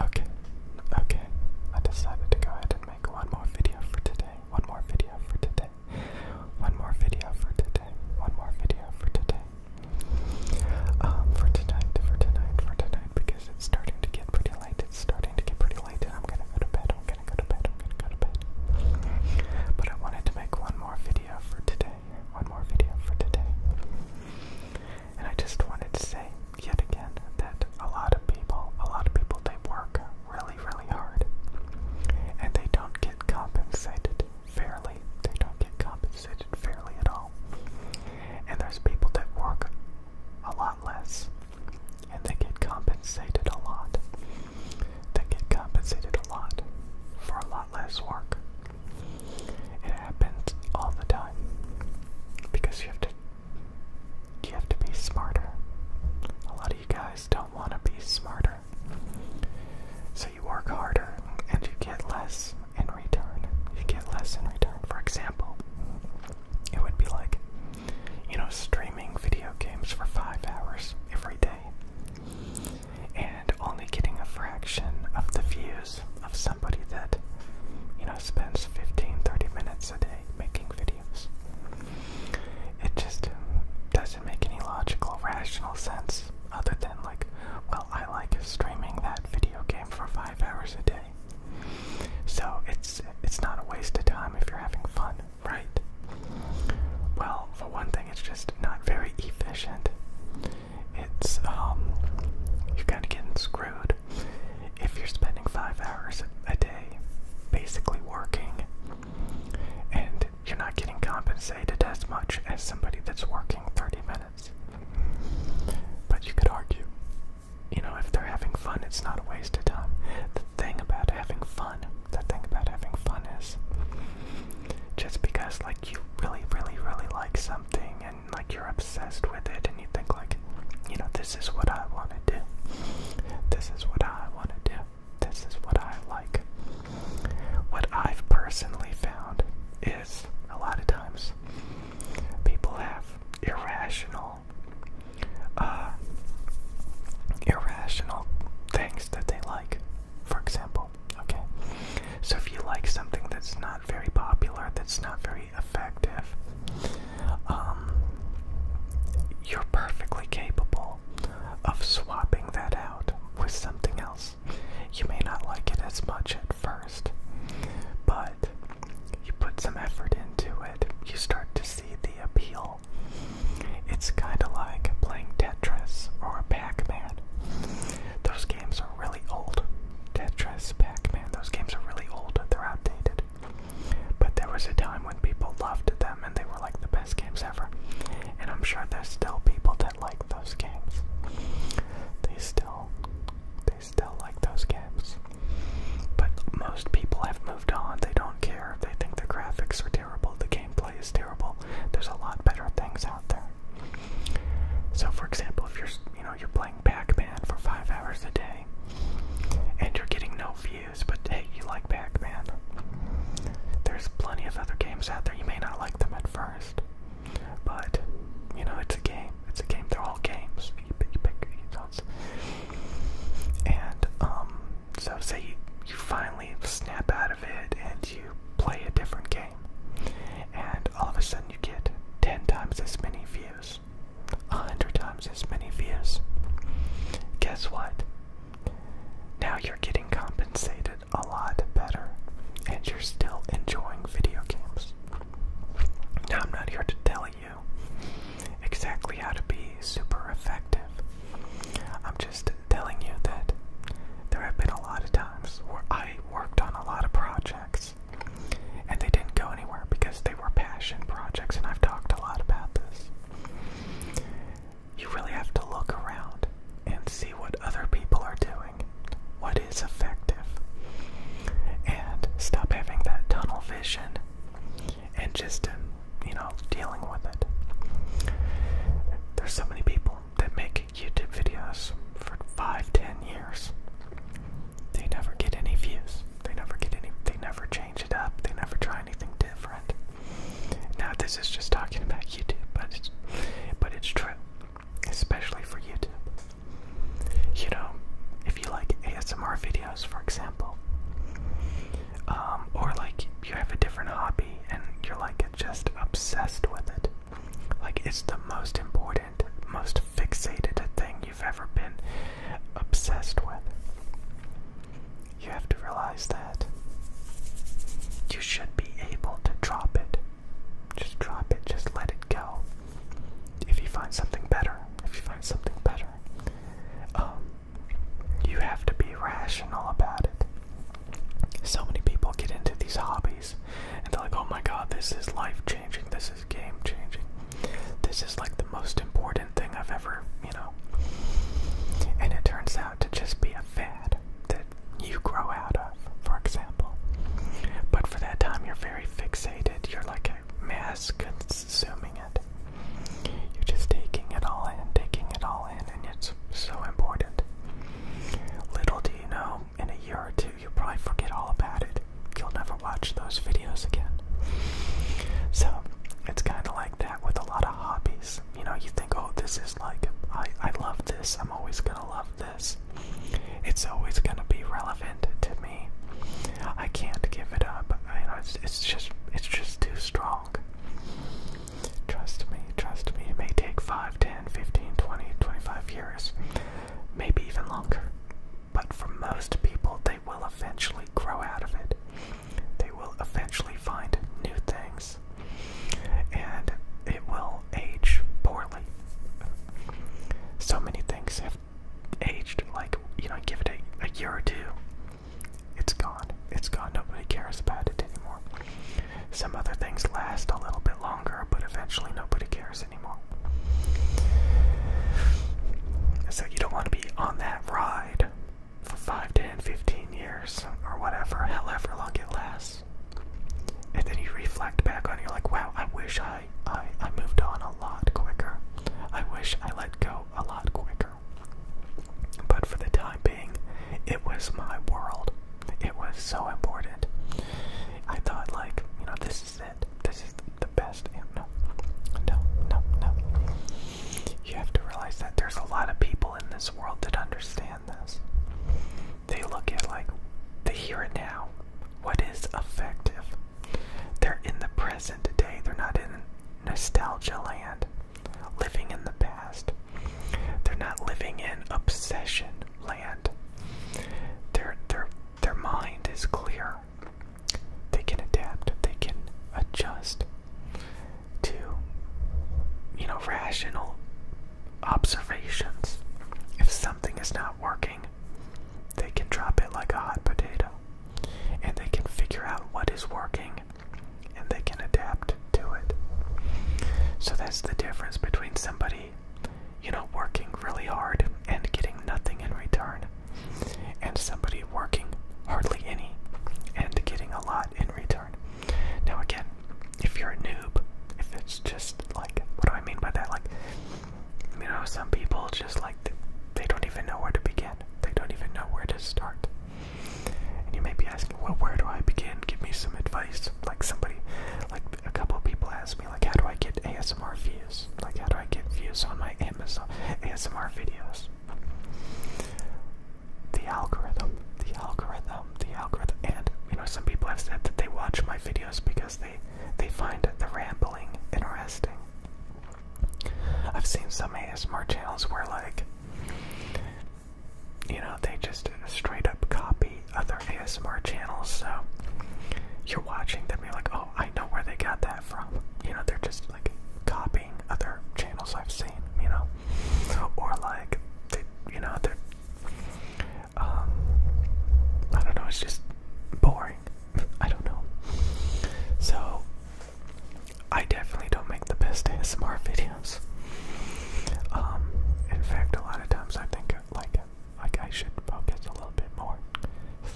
Okay, okay, I decided to go ahead and make one more video for today, one more video for today, one more video for today, one more video for today. Um, for tonight, for tonight, for tonight, because it's starting to get pretty late, it's starting to get pretty late, and I'm gonna go to bed, I'm gonna go to bed, I'm gonna go to bed. But I wanted to make one more video for today, one more video for today. And I just wanted to say yet again that a lot of people, a lot of people, they work really, really hard and they don't get compensated fairly. They don't get compensated fairly at all. And there's people that work a lot less and they get compensated a lot. They get compensated a lot for a lot less work. It happens all the time because you have to you have to be smarter. A lot of you guys don't want to be smarter. So you work harder and you get less in return. You get less in return. For example, it would be like, you know, streaming video games for five hours every day and only getting a fraction of the views of somebody that, you know, spends 15 30 minutes a day making videos. It just doesn't make any logical, rational sense other than, like, well, I like streaming that video game for five hours a day. So it's it's not a waste of time if you're having fun, right? Well, for one thing, it's just not very efficient it's um, you're kind of getting screwed if you're spending five hours a day basically working and you're not getting compensated as much as somebody that's working 30 minutes but you could argue you know if they're having fun it's not a waste of time the thing about having fun the thing about having fun is just because like you really really really like something like you're obsessed with it and you think like you know this is what I want to do this is what I want to do this is what I like what I've personally found is a lot of times people have irrational uh, irrational things that they like for example Okay, so if you like something that's not very popular, that's not very effective, um, you're perfectly capable of swapping that out with something else. You may not like it as much at first, but you put some effort into it, you start to see the appeal. It's kind of like playing Tetris or Pac Man. Those games are really old. Tetris, Pac-Man, those games are really old. They're outdated. But there was a time when people loved them and they were like the best games ever. And I'm sure there's still people that like those games. They still they still like those games. But most people have moved on. They don't care. They think the graphics are terrible. The gameplay is terrible. There's a lot better things out there. So, for example, if you're you know you're playing Pac-Man for five hours a day, and you're getting no views, but hey, you like Pac-Man. There's plenty of other games out there. You may not like them at first, but you know it's a game. It's a game. They're all games. You pick, you pick, you and um, so say you, you finally snap out of it and you play a different game and all of a sudden, you get 10 times as many views, 100 times as many views. Guess what? Now you're getting compensated a lot better, and you're still enjoying video games. Now, I'm not here to tell you exactly how to be super effective. I'm just telling you that there have been a lot of times where I worked on a lot of projects and they didn't go anywhere because they were passion projects, and I've talked a lot about this. You really have to look around and see what other people are doing, what is effective, and stop having that tunnel vision and just, um, you know, dealing with it. There's so many people that make YouTube videos for five, ten years. They never get any views. They never get any. They never change it up. They never try anything different. Now this is just talking about YouTube, but it's but it's true, especially for YouTube. You know, if you like ASMR videos, for example, um, or like you have a different hobby and you're like just obsessed with it, like, it's the most important, most fixated thing you've ever been obsessed with. You have to realize that. You should be able to drop it. Just drop it, just let it go. If you find something better, if you find something better, um, you have to be rational about it. So many people get into these hobbies and they're like oh my god this is life changing this is game changing this is like the most important thing i've ever you know and it turns out to just be a fad that you grow out of for example but for that time you're very fixated you're like a mass consuming it you're just taking it all in taking it all in and it's so important little do you know in a year or two, you'll probably forget all about it. You'll never watch those videos again. So it's kind of like that with a lot of hobbies. You know, you think, oh, this is like, I, I love this, I'm always gonna love this. It's always gonna be relevant to me. I can't give it up. you know, it's, it's just, it's just too strong. Trust me, trust me, it may take five, ten, fifteen, twenty, twenty-five years, maybe even longer. But for most people, they will eventually grow out of it. They will eventually find new things. And it will age poorly. So many things have aged, like, you know, give it a year or two. It's gone. It's gone. Nobody cares about it anymore. Some other things last a little bit longer, but eventually nobody cares anymore. So you don't want to be on that ride for 5, 10, 15 years or whatever, however long it lasts. And then you reflect back on you're like, wow, I wish I, I, I moved on a lot quicker. I wish I let go a lot quicker. But for the time shopping. It was my world. It was so important. I thought, like, you know, this is it. This is the best. And no, no, no, no. You have to realize that there's a lot of people in this world that understand this. They look at, like, the here and now. What is effective? They're in the present today. They're not in nostalgia land, living in the past. They're not living in obsession land. Their their their mind is clear. They can adapt. They can adjust to you know rational observations. If something is not working, they can drop it like a hot potato and they can figure out what is working and they can adapt to it. So that's the difference between somebody, you know, working really hard and getting nothing in return, and somebody working hardly any and getting a lot in return. Now, again, if you're a noob, if it's just like, what do I mean by that? Like, you know, some people just like, they don't even know where to begin, they don't even know where to start. And you may be asking, well, where do I begin? Give me some advice. Like somebody, like a couple of people ask me, like, how do I get ASMR views? Like, how do I get views on my Amazon ASMR videos? The algorithm, the algorithm, the algorithm. And, you know, some people have said that they watch my videos because they, they find the rambling interesting. I've seen some ASMR channels where, like, you know, they just straight up copy other ASMR channels. So you're watching them, you're like, oh, I know where they got that from. You know, they're just like copying other channels I've seen, you know, or like, they, you know, they um, I don't know, it's just boring. I don't know. So I definitely don't make like the best ASMR videos. Um, in fact, a lot of times I think like like I should focus a little bit more,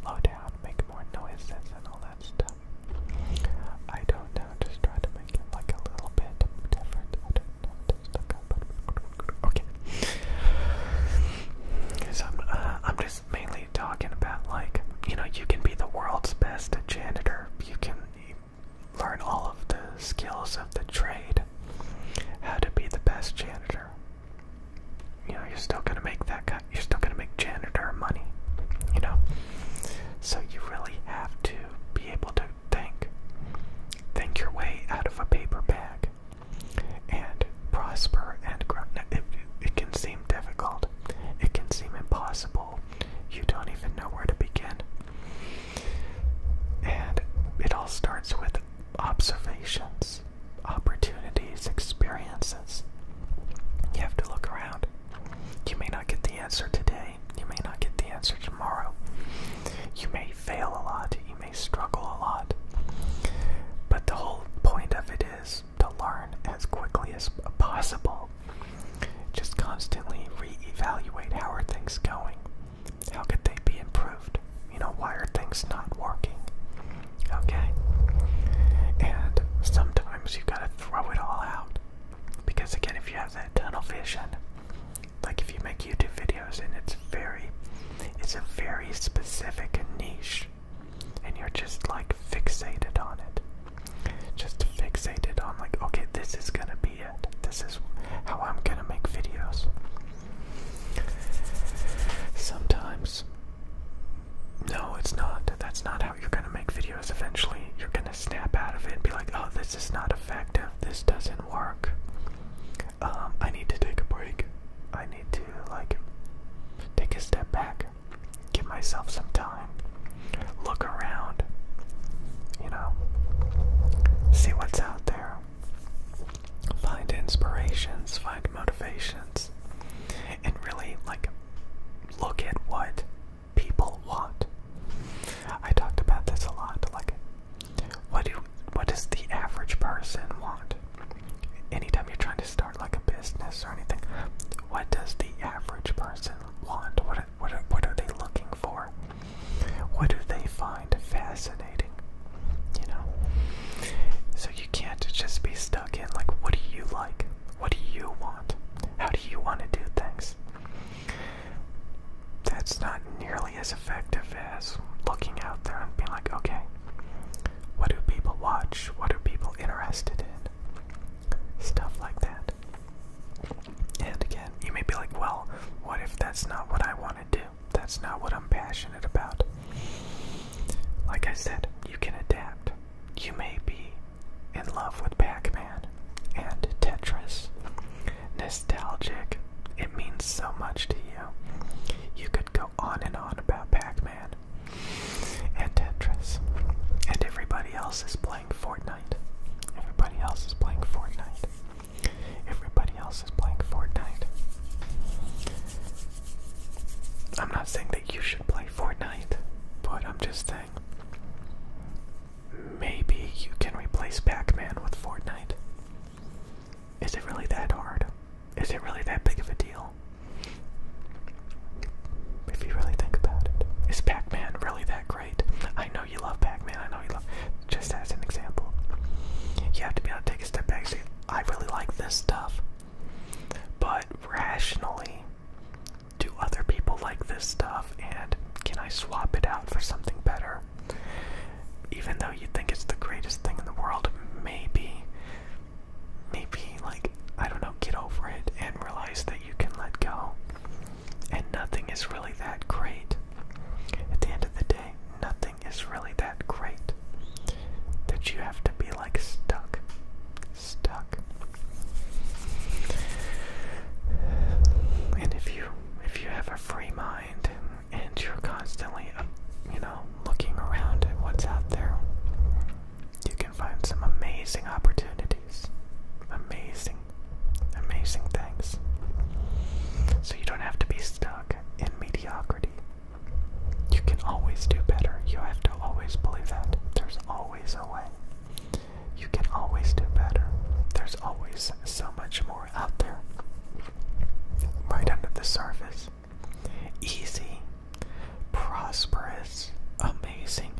slow down, make more noises and all that stuff. I don't know, just try to make it like a little bit different. I don't know, Okay. So I'm, uh, I'm just mainly talking about like you know you can be the world's best janitor. You can learn all of the skills of the trade, how to be the best janitor. You know, you're still gonna make that guy. You're still gonna make janitor money. You know, so you really have to be able to think, think your way out of a paper bag, and prosper and grow. it, it can seem difficult. It can seem impossible. You don't even know where to begin. And it all starts with observations, opportunities, experiences. You have to look around. You may not get the answer today, you may not get the answer tomorrow. You may fail a lot, you may struggle a lot. But the whole point of it is to learn as quickly as possible just constantly reevaluate how are things going? How could they be improved? You know, why are things not working? Okay? And sometimes you gotta throw it all out. Because again, if you have that tunnel vision, like if you make YouTube videos and it's very it's a very specific niche and you're just like fixated on it just fixated on like okay this is gonna be it this is how i'm gonna make videos sometimes no it's not that's not how you're gonna make videos eventually you're gonna snap out of it and be like oh this is not effective this doesn't work um i need to take a break i need to like take a step back give myself some time look around, you know, see what's out there, find inspirations, find motivations, and really like look at what people want. I talked about this a lot. Like, what do what does the average person want? Anytime you're trying to start like a business or anything, what does the average person want? What what are, what are they looking for? What do they find fascinating? You know. So you can't just be stuck in like, what do you like? What do you want? How do you want to do things? That's not nearly as effective as looking out there and being like, okay, what do people watch? What are people interested in? Stuff like that. And again, you may be like, well, what if that's not what I want to do? That's not what I'm passionate about. Like I said, you can adapt. You may be in love with Pac Man and Tetris. Nostalgic, it means so much to you. You could go on and on about Pac Man and Tetris and everybody else's playing Fortnite. Everybody else is playing Fortnite. Everybody else is playing Fortnite. I'm not saying that you should play Fortnite, but I'm just saying maybe you can replace Pac Man with Fortnite. Is it really that hard? Is it really that big of a deal? If you really think about it, is Pac-Man really that great? I know you love Pac-Man. I know you love. Just as an example, you have to be able to take a step back. and I really like this stuff, but rationally, do other people like this stuff? And can I swap it out for something better? Even though you think it's the greatest thing in the world, maybe, maybe like I don't know, get over it and realize that you can let go. And nothing is really that great. At the end of the day, nothing is really that great that you have to be like stuck. Stuck. And if you if you have a free mind and you're constantly you know looking around at what's out there, you can find some amazing opportunities amazing, amazing things. So you don't have to be stuck in mediocrity. You can always do better. You have to always believe that. There's always a way. You can always do better. There's always so much more out there. Right under the surface. Easy prosperous, amazing.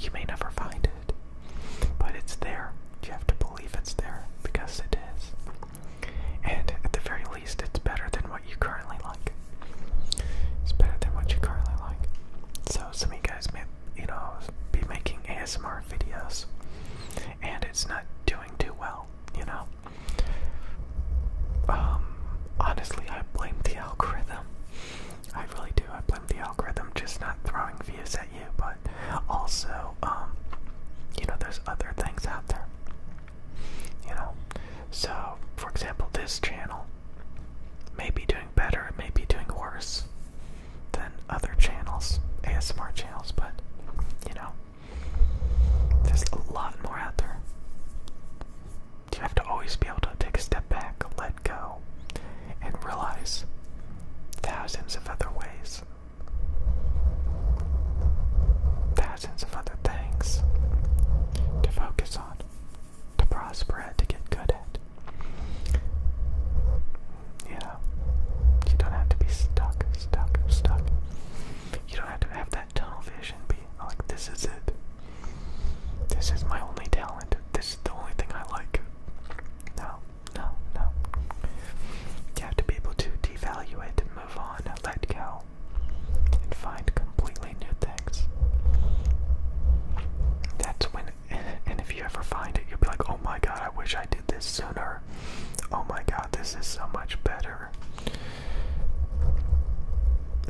You may never find it, but it's there. You have to believe it's there because it is. And at the very least, it's better than what you currently like. It's better than what you currently like. So, some of you guys may, you know, be making ASMR videos and it's not doing too well, you know? Um, honestly, I blame the algorithm. I really do. I blame the algorithm just not throwing views at you, but also, um, you know, there's other things out there. You know, so for example, this channel may be doing better, it may be doing worse than other channels, ASMR channels, but you know, there's a lot more out there. You have to always be able to take a step back, let go, and realize thousands of other ways, thousands of other things to focus on, to prosper at, to get good at. You know, you don't have to be stuck, stuck, stuck. You don't have to have that tunnel vision be like, this is it. This is my only talent. This is the only thing I like. No, no, no. You have to be able to devalue it, move on, let go, and find completely new things. That's when, and if you ever find it, you'll be like, oh my god, I wish I did this sooner. Oh my god, this is so much better.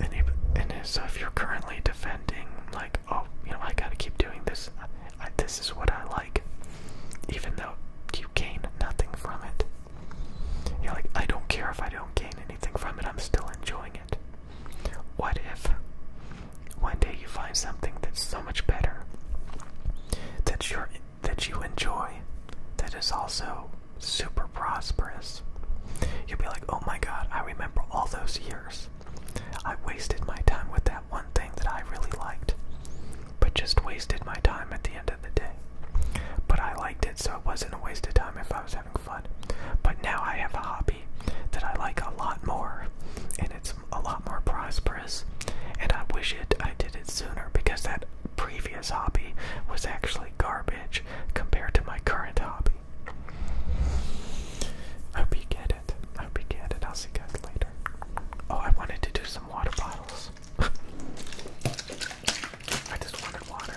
And, if, and if, you're currently defending like oh you know i gotta keep doing this I, this is what i like even though you gain nothing from it you're like i don't care if i don't gain anything from it i'm still enjoying it what if one day you find something that's so much better that you're that you enjoy that is also super prosperous. You'll be like, oh my god, I remember all those years. I wasted my time with that one thing that I really liked, but just wasted my time at the end of the day. But I liked it, so it wasn't a waste of time if I was having fun. But now I have a hobby that I like a lot more, and it's a lot more prosperous. And I wish it I did it sooner because that previous hobby was actually garbage compared to my current hobby. I hope you get it. I hope you get it. I'll see you guys later. Oh, I wanted to do some water bottles. I just wanted water.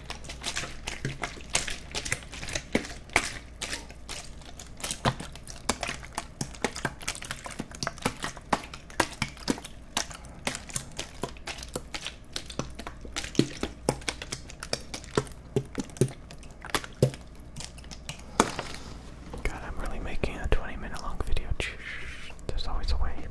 God, I'm really making a 20 minute long video. There's always a way.